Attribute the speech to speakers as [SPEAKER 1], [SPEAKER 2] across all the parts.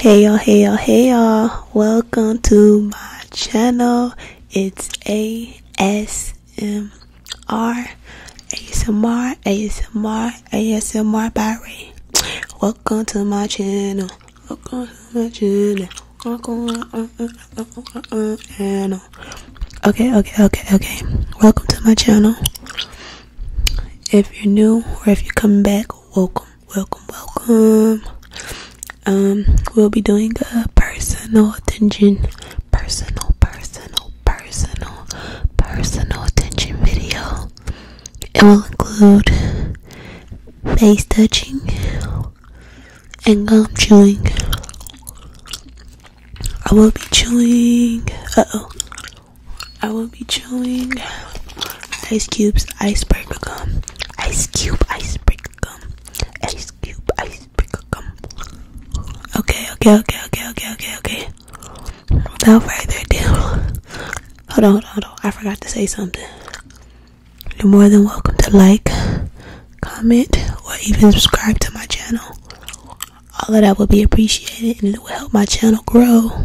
[SPEAKER 1] hey y'all hey y'all hey y'all welcome to my channel it's asmr asmr asmr asmr by ray welcome to my channel welcome to my channel welcome uh, uh, uh, okay okay okay okay welcome to my channel if you're new or if you're coming back welcome welcome, welcome. Um, we'll be doing a personal attention, personal, personal, personal, personal attention video. It will include face touching and gum chewing. I will be chewing. Uh oh. I will be chewing ice cubes, icebreaker gum, ice cube, icebreaker gum, ice cube, icebreaker gum. Okay, okay, okay, okay, okay, okay, okay. Without further ado, hold on, hold on, hold on. I forgot to say something. You're more than welcome to like, comment, or even subscribe to my channel. All of that would be appreciated and it will help my channel grow.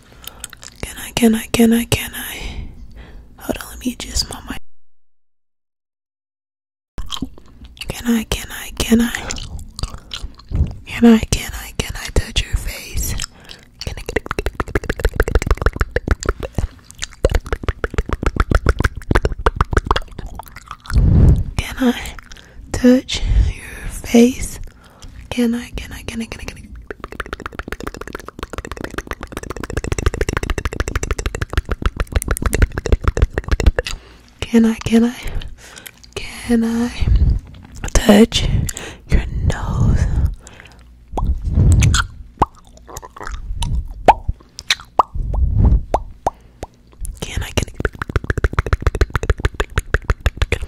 [SPEAKER 1] Can I, can I, can I, can I? Hold on, let me adjust my mic. Can I, can I, can I? Can I, can I, can I touch your face? Can I, can I touch your face? Can I, can I, can I, can I, can I? Can I, can I, can I touch your nose? Can I, can I, can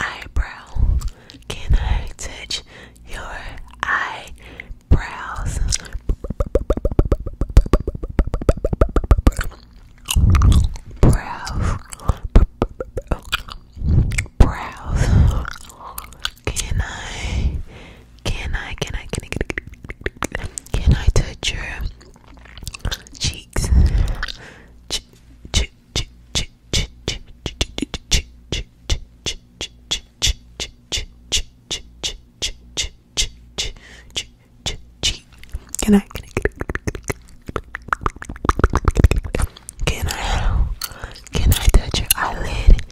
[SPEAKER 1] eyebrow. Can I touch your eyebrows? Brows. Brows. Can I? Can I? Can I? Can I? Can I? touch your cheeks? Ch ch can I? Can I? Can I touch your eyelid?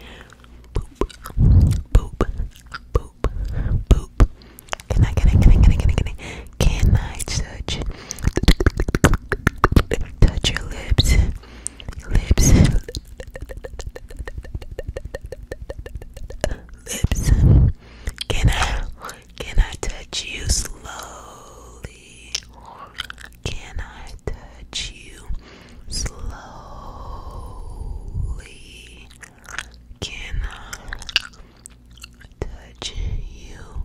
[SPEAKER 1] Boop, boop, boop, boop. Can I? Can I? Can I? Can I? Can I? Can I touch touch your lips, lips, lips. Can I, can I touch you slowly? Can I touch you slowly? Can I touch you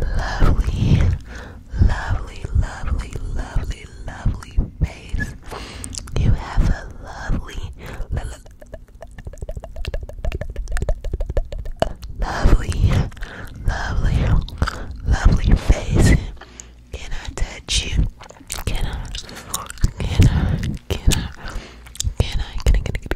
[SPEAKER 1] lovely, lovely, lovely, lovely, lovely face. You have a lovely, lovely, lovely, lovely face. Can I touch you? Can I? Can I? Can I? Can I? Can I?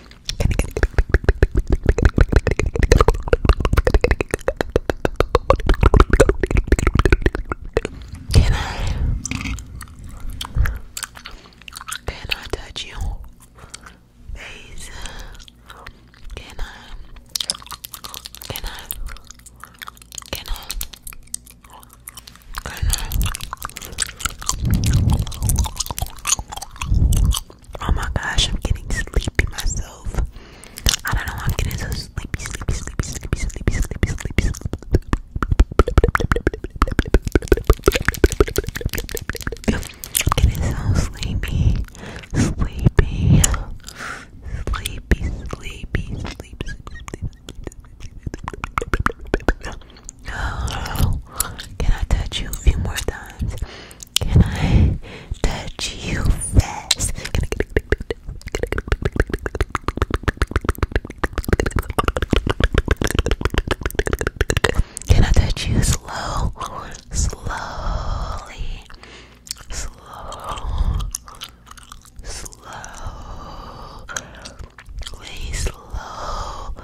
[SPEAKER 1] Can I? Can I touch you? Face? Can I? Can I? Can I? Can I? Oh my gosh, I'm getting sleepy myself. I don't know, I'm getting so sleepy, sleepy, sleepy, sleepy, sleepy, sleepy, sleepy, sleepy. Getting so sleepy, sleepy, sleepy, sleepy, sleep, sleep, Can I touch you a few more times? Can I touch you fast? Can I touch you slow? Slowly. Slow. Slowly. Slowly